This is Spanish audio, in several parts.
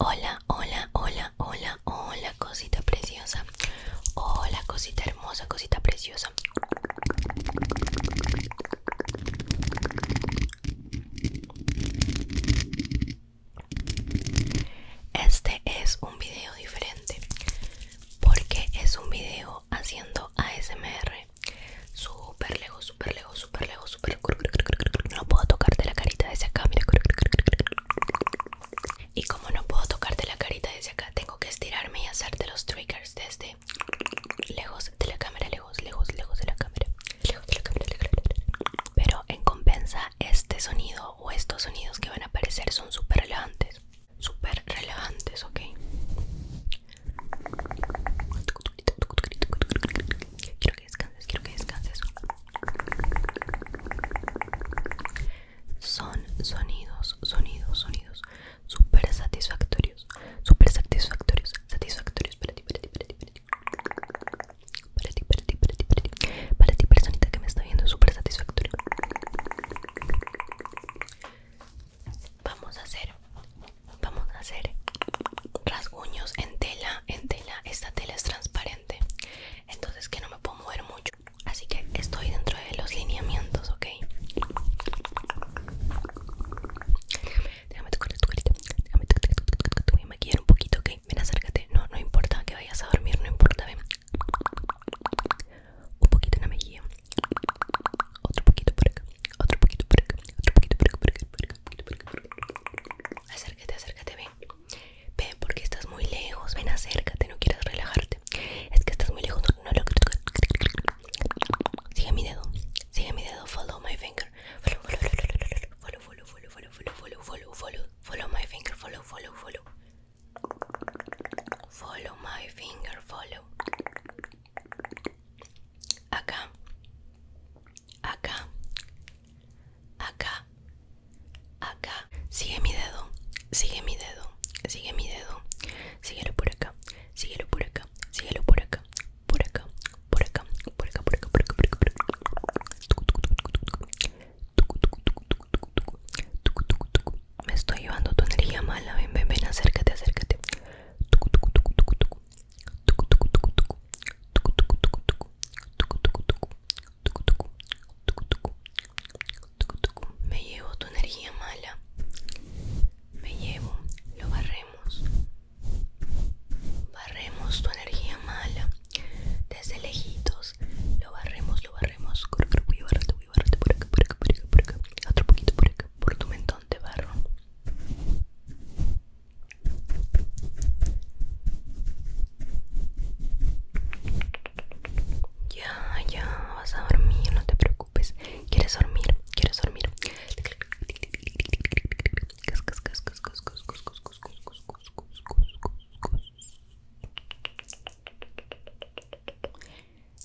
Hola, hola, hola, hola, hola, cosita preciosa. Hola, cosita hermosa, cosita preciosa. Este es un video diferente porque es un video haciendo ASMR Super lejos, super lejos, super lejos, súper no puedo tocarte la carita desde acá, Y como no puedo tocarte la carita desde acá, tengo que estirarme y hacerte los triggers desde lejos de la cámara, lejos, lejos, lejos de la cámara. Pero en compensa este sonido o estos sonidos que van a aparecer son súper relevantes. Súper relevantes, ok. Quiero que descanses, quiero que descanses. Son sonidos, sonidos, sonidos súper satisfactorios, súper satisfactorios, satisfactorios para para para ti, para ti, para ti, para ti. Para ti, personita que me está viendo, súper satisfactorio. Vamos a hacer, vamos a hacer rasguños en tela, en tela. Esta tela es transparente, entonces que no me puedo mover mucho. Así que estoy dentro de los lineamientos, ¿ok? Déjame tocar tu carita. Déjame tocar tu carita. Te voy a maquillar un poquito, ¿ok? Ven, acércate. No, no importa que vayas a dormir, no importa. Ven. Un poquito en la mejilla. Otro poquito por acá. Otro poquito por acá. Otro poquito por acá. Por acá, por acá, por Acércate, acércate, ven. Ven, porque estás muy lejos. Ven, acércate. No quieres relajarte. Es que estás muy lejos. No, no lo Sigue mi dedo. Sigue mi dedo. Follow my finger. Follow, follow, follow, follow, follow, follow, follow, follow, follow, follow my finger. Follow, follow, follow. Follow my finger. Follow. Acá. Acá. Acá. Acá. Sigue mi dedo. Sigue mi dedo. Sigue mi dedo. Síguelo por acá. Síguelo por acá. Síguelo por acá. Por acá por acá, por acá, por acá, por acá, por acá, por acá. Me estoy llevando tu energía mala, ven, ven, ven, acércate, acércate. Me llevo tu energía mala. Me llevo, lo barremos, Barremos tu energía mala desde lejitos. Lo barremos, lo barremos. Voy a barrarte, voy por acá, por acá, por acá, por acá. Otro poquito por acá, por tu mentón te barro. Ya, ya, vas a dormir, no te preocupes. ¿Quieres dormir? ¿Quieres dormir?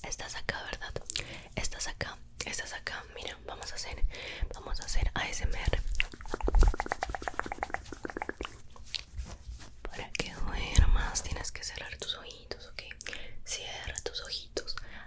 Estás acá, ¿verdad? Estás acá, estás acá. Mira, vamos a hacer, vamos a hacer ASMR. Para que duermas tienes que cerrar tus ojitos, ¿ok? Cierra tus ojitos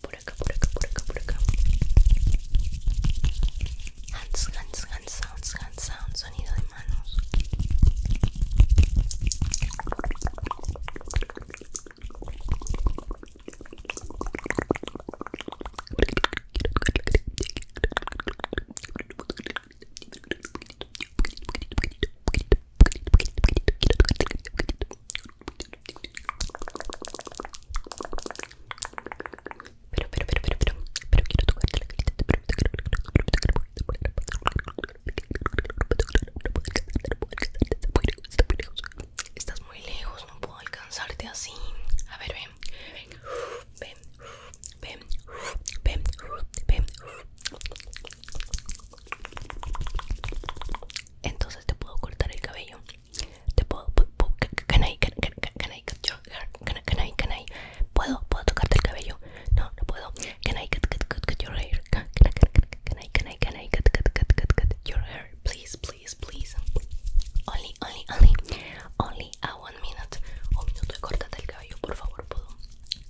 por acá, por acá, por acá, por acá. Hands, hands, hands, sounds, hands, sounds, sonido de manos. Pero, pero, pero, pero, pero, Estás muy lejos, no puedo alcanzarte así. A ver, ven. Entonces te puedo cortar el cabello. Te puedo, can I, cut Can, I, ¿Puedo, puedo tocarte el cabello? No, no puedo. Can cut, your hair? Can, I, cut, your hair? Please, please, please. Only, only, only, only a one minute. Un minuto y el cabello, por favor, puedo.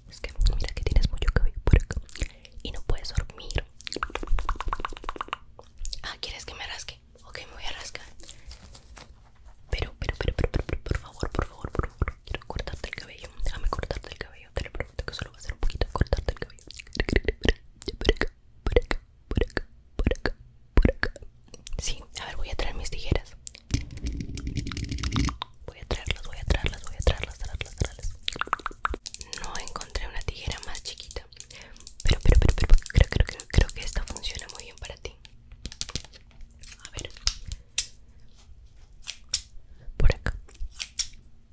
Es que mira que tienes mucho cabello y no puedes dormir. Ah, ¿quieres que me rasque? Ok, me voy a rascar. Pero, pero, pero, pero, pero, por favor, por favor, por favor. Quiero cortarte el cabello. Déjame cortarte el cabello. Te lo prometo que solo va a ser un poquito cortarte el cabello. Por acá, por acá, por acá, por acá, por acá. Sí, a ver, voy a traer mis tijeras. Voy a traerlas, voy a traerlas, voy a traerlas, traerlas, traerlas. No encontré una tijera más chiquita pero, pero, pero, pero creo, creo, que esta funciona muy bien para ti A ver Por acá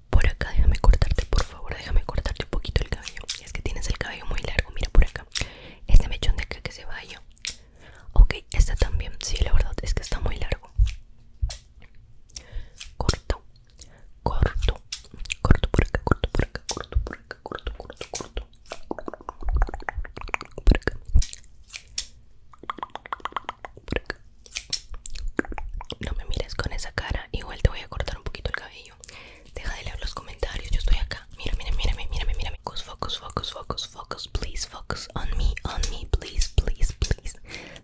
Por acá, déjame cortarte, por favor Déjame cortarte un poquito el cabello Es que tienes el cabello muy largo, mira por acá Este mechón de acá que se vaya Ok, esta también, sí, la verdad es que está muy largo Corto corto corto por acá corto por acá corto por acá corto corto corto por acá por acá no me mires con esa cara igual te voy a cortar un poquito el cabello deja de leer los comentarios yo estoy acá mira mira mira mira mira focus focus focus focus focus please focus on me on me please please please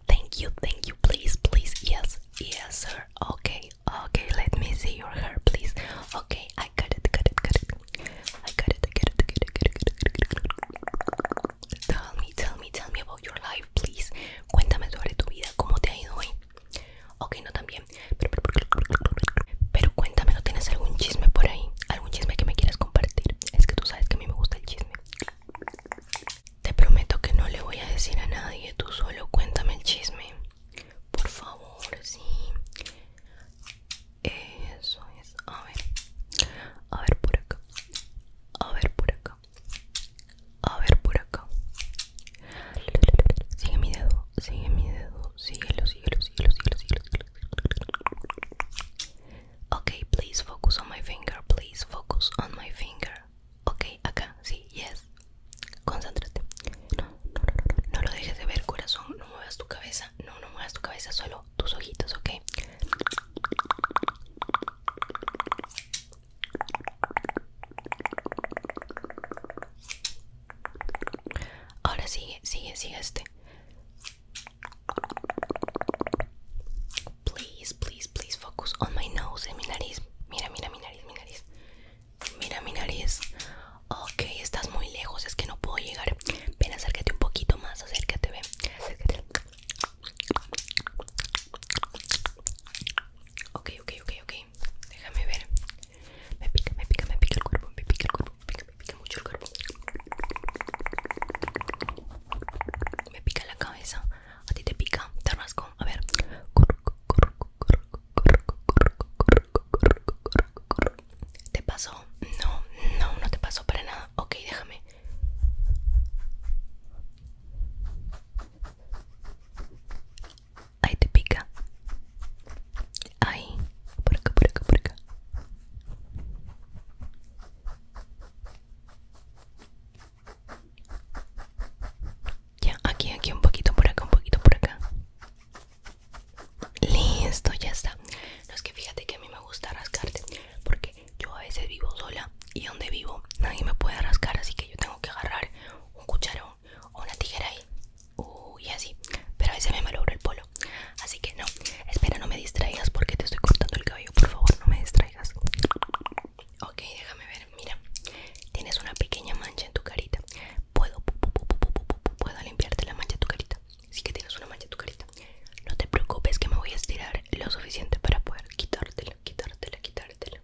thank you thank you please please yes yes sir okay Okay, let me see your hair, please. Okay, I got it, got it, got it. I got it, I got it, I got it, I got it, it. Tell me, tell me, tell me about your life, please. Cuéntame sobre tu vida, cómo te ha ido hoy. Ok, no también. Pero, pero, pero, pero cuéntame, ¿no tienes algún chisme por ahí? ¿Algún chisme que me quieras compartir? Es que tú sabes que a mí me gusta el chisme. Te prometo que no le voy a decir a nadie, tú solo cuéntame el chisme. Por favor, sí. Eso es. A ver. A ver por acá. A ver por acá. A ver por acá. Sigue mi dedo. Sigue mi dedo. Síguelo, síguelo, síguelo, síguelo, síguelo. síguelo. Okay, please focus on my finger. Please focus on my finger. Ok, acá, sí, yes. Concéntrate. No, lo dejes de ver, corazón. No muevas tu cabeza. No, no muevas tu cabeza, solo tus ojitos, ok. Ahora sigue, sigue, sigue este. Please, please, please focus on my nose, en nariz. Mira, mira mi nariz, mi nariz. Mira mi nariz. Ok, estás muy lejos, es que no puedo llegar. Ven, acércate un poquito más, acércate, ven. Acércate. Ok, ok, ok, ok. Déjame ver. Me pica, me pica, me pica el cuerpo, me pica el cuerpo, me pica mucho el cuerpo. Me pica la cabeza. A ti te pica, te rasco. A ver, corro, corro, corro, corro, corro, corro, corro, corro, corro, ¿Te pasó? No, no, no te pasó para nada. Ok, déjame. Ahí te pica. Ahí, por acá, por acá, por acá. Ya, aquí, aquí, un poquito por acá, un poquito por acá. Listo, ya está. No es que fíjate que a mí me gusta rascarte. Porque yo a veces vivo sola y donde vivo nadie me puede rascar. Así que yo tengo que agarrar un cucharón o una tijera y uy y así. Pero a veces me malogro el polo. Así que no. Espera, no me distraigas porque te estoy cortando el cabello. Por favor, no me distraigas. Ok, déjame ver, mira Tienes una pequeña mancha en tu carita Puedo, puedo limpiarte la mancha de tu carita Sí que tienes una mancha en tu carita No te preocupes que me voy a estirar lo suficiente para poder quitártela, quitártela, quitártela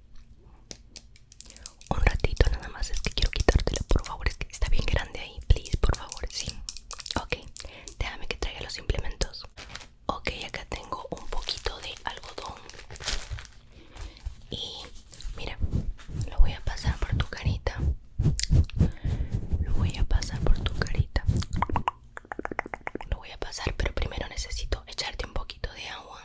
Un ratito nada más, es que quiero quitártela, por favor Es que está bien grande ahí, please, por favor, sí Ok, déjame que traiga los implementos ok acá tengo un poquito de algodón y mira lo voy a pasar por tu carita lo voy a pasar por tu carita lo voy a pasar pero primero necesito echarte un poquito de agua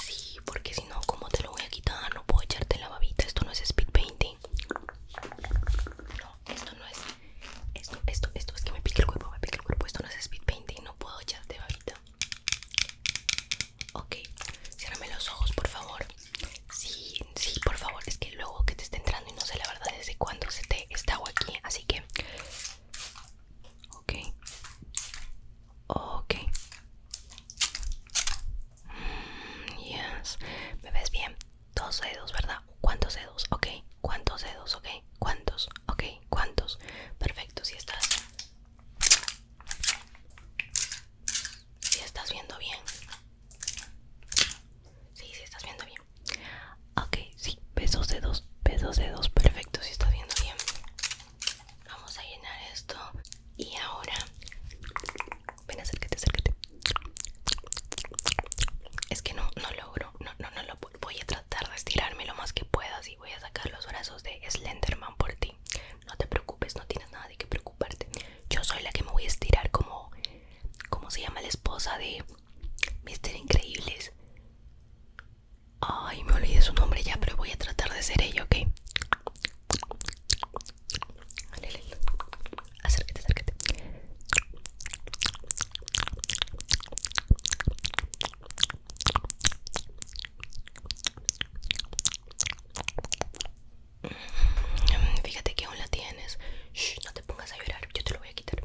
sí porque si no como te lo voy a quitar no puedo echarte la babita esto no es speed painting no esto no es esto, esto, esto es que me pica el cuerpo, me pica el cuerpo, esto no es speed painting, no puedo echarte babita. Ok, ciérrame los ojos, por favor. Sí, sí, por favor, es que luego que te esté entrando y no sé la verdad desde cuándo se te está agua aquí, así que Ok. Ok. Mmm yes. ¿Me ves bien? dos dedos, ¿verdad? ¿Cuántos dedos? Ok, ¿cuántos dedos? Ok, ¿cuántos? Ok, ¿cuántos? Perfecto, si estás... Si estás viendo bien. Sí, si estás viendo bien. Ok, sí, besos dedos, besos dedos, perfecto, si estás viendo bien. Vamos a llenar esto. Y ahora... Ven, acércate, acércate. Es que no, no logro, no, no, no lo voy a tratar de estirarme lo más que puedas y voy a sacar los brazos de Slenderman por ti. No te preocupes, no tienes nada de qué preocuparte. Yo soy la que me voy a estirar como, ¿cómo se llama la esposa de Mr. Increíbles? Ay, me olvidé su nombre ya, pero voy a tratar de ser ella, ¿ok? Acércate, acércate. Mm, fíjate que aún la tienes. Shh, no te pongas a llorar, yo te lo voy a quitar.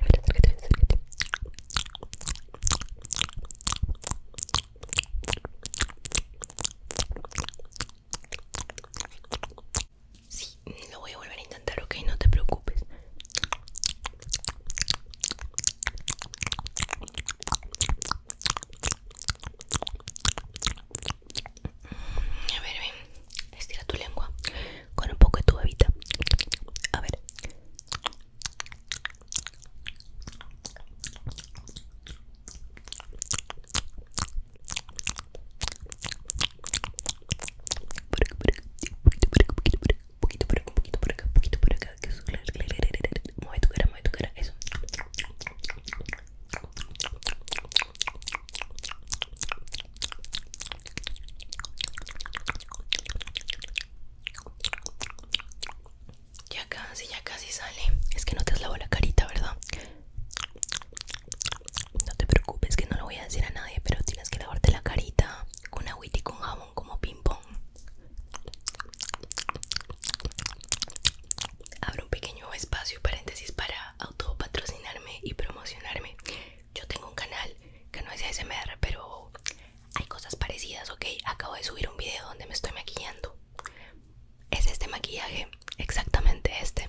Acércate, acércate. Sí, lo voy a volver a intentar, ok, no te preocupes. A ver, ven. estira tu lengua con un poco de tu bebita. A ver poquito por acá, poquito por acá, poquito por acá, que Ya casi, ya casi sale. Es que no te has lavado la carita, ¿verdad? No te preocupes que no lo voy a decir a nadie, pero tienes que lavarte la carita con agüita y con jabón como ping pong. Abro un pequeño espacio, paréntesis, para autopatrocinarme y promocionarme. Yo tengo un canal que no es ASMR, pero hay cosas parecidas, ok. Acabo de subir un video donde me estoy maquillando. Es este maquillaje, exactamente este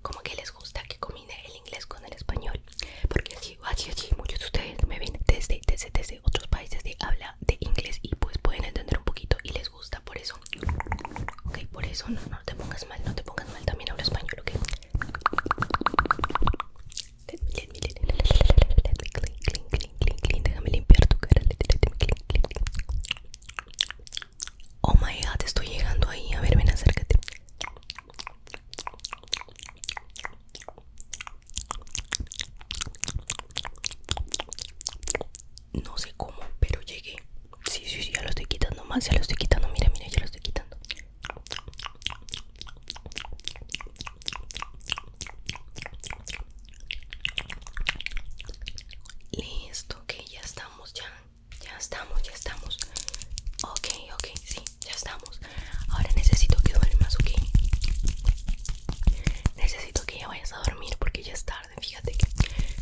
como que les gusta que combine el inglés con el español porque así, así, así muchos de ustedes me ven desde, desde, desde otros países de habla de inglés y pues pueden entender un poquito y les gusta por eso ok, por eso no, no te pongas mal, no te pongas mal también hablo español, ok let me, let me clean, clean, clean, clean, clean déjame limpiar tu cara, let me clean, clean, clean Oh my god, estoy llegando ahí. A ver, ven, acércate. No sé cómo, pero llegué. Sí, sí, sí, ya lo estoy quitando más, ya lo estoy quitando. Mira, mira, ya lo estoy quitando. Listo, que ya estamos ya ya estamos, ya estamos. Ok, ok, sí, ya estamos. Ahora necesito que duermas, ok. Necesito que ya vayas a dormir porque ya es tarde. Fíjate que,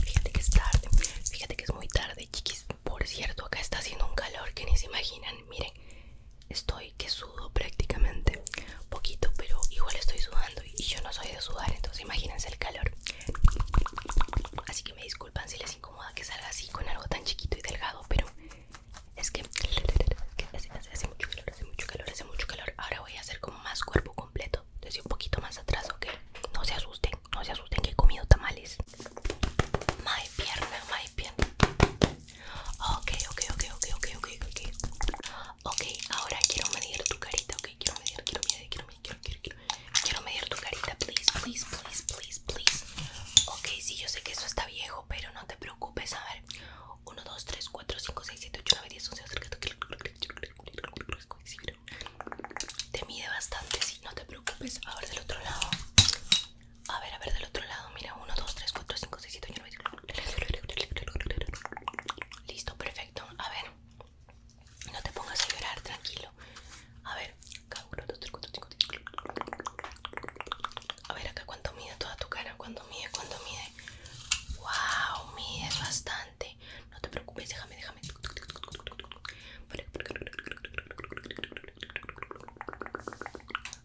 fíjate que es tarde. Fíjate que es muy tarde, chiquis. Por cierto, acá está haciendo un calor que ni se imaginan. Miren, estoy que sudo prácticamente. Poquito, pero igual estoy sudando y yo no soy de sudar, entonces imagínense el calor. Así que me disculpan si les incomoda que salga así con algo tan chiquito y delgado, pero es que, hace, mucho calor, hace mucho calor, hace mucho calor. Ahora voy a hacer como más cuerpo completo, desde un poquito más atrás, ¿ok? No se asusten, no se asusten que he comido tamales. My pierna, my pierna. Ok, ok, ok, ok, ok, ok, ok. Ok, ahora quiero medir tu carita, ok, quiero medir, quiero medir, quiero medir, quiero, quiero, quiero, Quiero medir tu carita, please, please, please, please, please. Ok, sí, yo sé que eso está viejo, pero no te preocupes. A ver, 1, 2, 3, 4, 5, 6, 7, 8, 9, 10, 11, 12, 13, 14. Te mide bastante, sí, no te preocupes. A ver, del otro lado. A ver, a ver, del otro lado. Mira, 1, 2, 3, 4, 5, 6, 7, 8, 9, 10. Listo, perfecto. A ver, no te pongas a llorar, tranquilo. A ver, a ver acá cuánto mide toda tu cara, cuánto mide, cuánto mide. Wow, mide bastante. No te preocupes, déjame, déjame.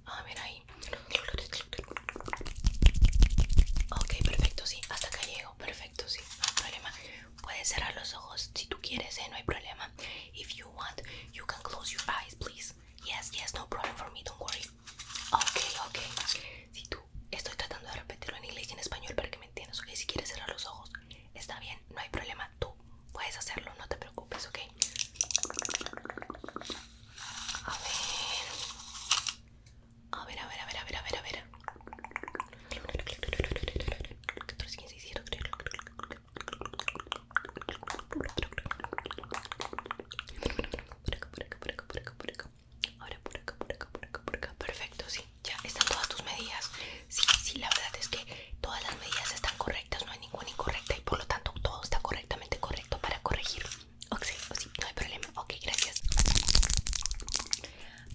Ah, mira ahí. Ok, perfecto, sí. Hasta acá llego, perfecto, sí. No hay problema. Puedes cerrar los ojos si tú quieres, ¿eh? no hay problema. If you want, you can close your eyes, please. Yes, yes, no problem for me, don't worry. Okay, okay. Si tú estoy tratando de repetirlo en inglés y en español para que me entiendas, ok. Si quieres cerrar los ojos, está bien, no hay problema. Tú puedes hacerlo, no te preocupes, ok. A ver, a ver, a ver, a ver, a ver, a ver. Perfecto, sí. Ya están todas tus medidas. Sí, sí, la verdad es que todas las medidas están correctas, no hay ninguna incorrecta y por lo tanto todo está correctamente correcto para corregir. Ok, no hay problema. Ok, gracias.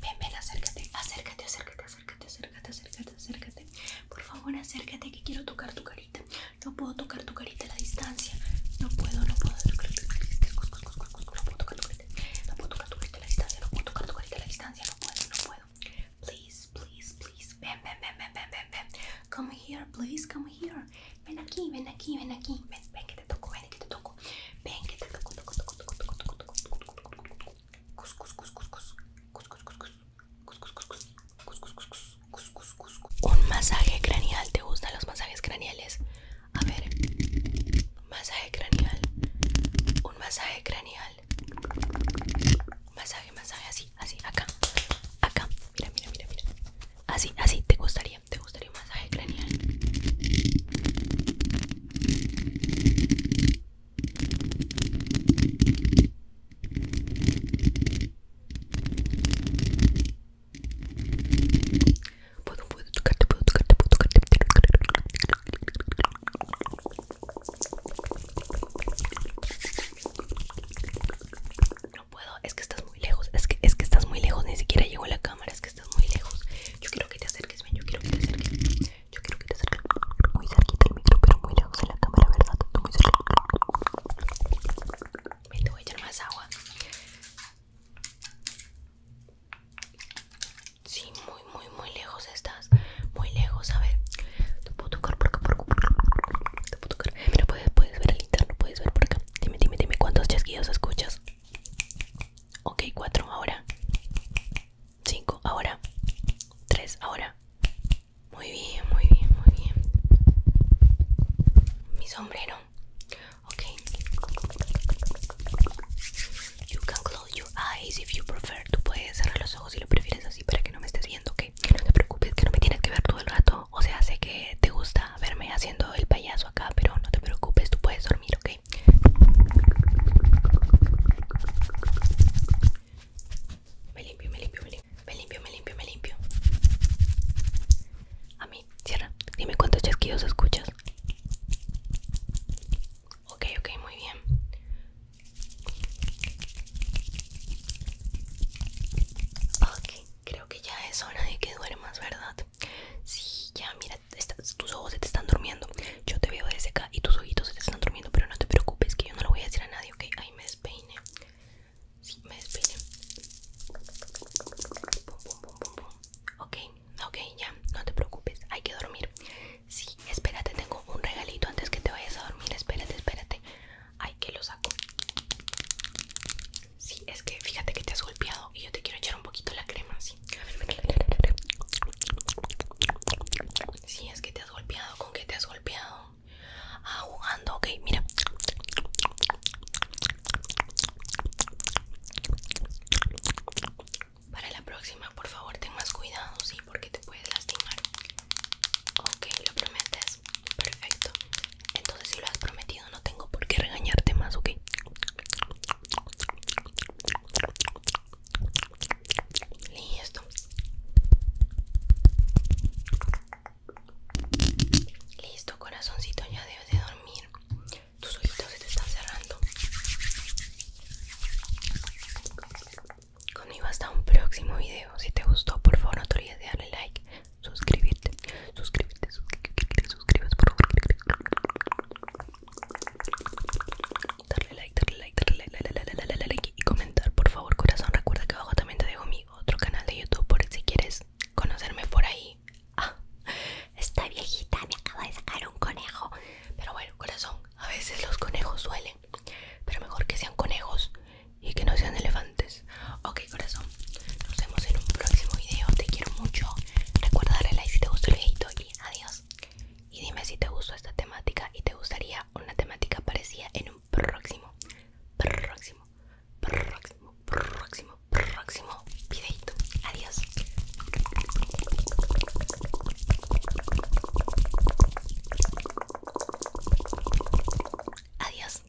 Ven, ven, acércate, acércate, acércate, acércate, acércate, acércate, Por favor, acércate que quiero tocar tu carita. No puedo tocar tu carita a la distancia. No puedo, no puedo. tu carita. No puedo tocar tu carita distancia. No puedo tocar tu carita a la distancia. No puedo, no puedo. Please, please, please. Ven, ven, ven, ven, ven, ven, Come here, please, come here. Ven aquí, ven aquí, ven aquí. Ven, que te toco, ven que te toco. Ven que te toco un masaje craneal, ¿te gustan los masajes craneales? A ver, masaje craneal, un masaje craneal, masaje, masaje, así, así, acá, acá, mira, mira, mira, mira, así, así, ¿te gustaría? ¿Te gustaría un masaje craneal? Puedo, puedo tocarte, puedo tocarte, puedo tocarte. No puedo, es que estás muy lejos, es que, es que estás muy lejos, ni siquiera llego la cámara, es que estás muy lejos. Yo quiero que te acerques, yo quiero que te acerques. Yo quiero que te acerques muy cerquita el micro, pero muy lejos de la cámara, ¿verdad? Tú muy cerca. Me te voy a echar más agua. Sí, muy, muy, muy lejos estás. Muy lejos, a ver. Te puedo tocar por acá, por Te puedo tocar. Mira, puedes, puedes ver el interno, puedes ver por acá. Dime, dime, dime cuántos chasquidos escuchas. Ok, cuatro ahora. 5 ahora 3 ahora muy bien muy bien muy bien mi sombrero ok you can close your eyes if you prefer tú puedes cerrar los ojos si lo prefieres así para que no me estés viendo que no te preocupes que no me tienes que ver todo el rato o sea sé que te gusta verme haciendo el payaso acá pero no te preocupes tú puedes dormir ok me limpio, me limpio, me limpio. Me limpio, me limpio, me limpio. A mí, cierra. Dime cuántos chasquidos escuchas. Ok, ok, muy bien. Ok, creo que ya es hora de que duermas, ¿verdad? Sí, ya, mira, tus ojos se te están durmiendo. Yo te veo desde acá y tus ojitos se te están durmiendo, pero no te preocupes que yo no lo voy a decir a nadie, ¿ok? Ahí me despeine. Sí, me despeine. Pum, pum, pum, pum, pum. Ok, ok, ya, no te preocupes, hay que dormir. Sí, espérate, tengo un regalito antes que te vayas a dormir. Espérate, espérate. Ay, que lo saco. Sí, es que fíjate que te has golpeado y yo te quiero echar un poquito la crema sí Sí, es que te has golpeado, ¿con qué te has golpeado? Ah, jugando, ok, mira. Para la próxima, por favor, ten más cuidado, sí, porque te puedes lastimar. Ok, lo prometes. Perfecto. Entonces, si lo has prometido, no tengo por qué regañarte más, ok. Listo. Listo, corazoncito, ya debes de dormir. Tus ojitos se te están cerrando. Conmigo hasta un próximo video. Si te gustó, por favor, no te olvides de darle like, suscribirte, suscribirte, suscribirte, por favor. Darle like, darle like, darle like, y comentar, por favor, corazón. Recuerda que abajo también te dejo mi otro canal de YouTube por si quieres conocerme por ahí. Ah, esta viejita me acaba de sacar un conejo. Pero bueno, corazón, a veces los conejos suelen. Pero mejor que sean conejos y que no sean elefantes. Ok, corazón, nos vemos en un próximo video. Te quiero mucho. Recuerda darle like si te gustó el videito adiós. Y dime si te gustó esta temática y te gustaría una temática parecida en un próximo, próximo, próximo, próximo, próximo videito. Adiós. Adiós.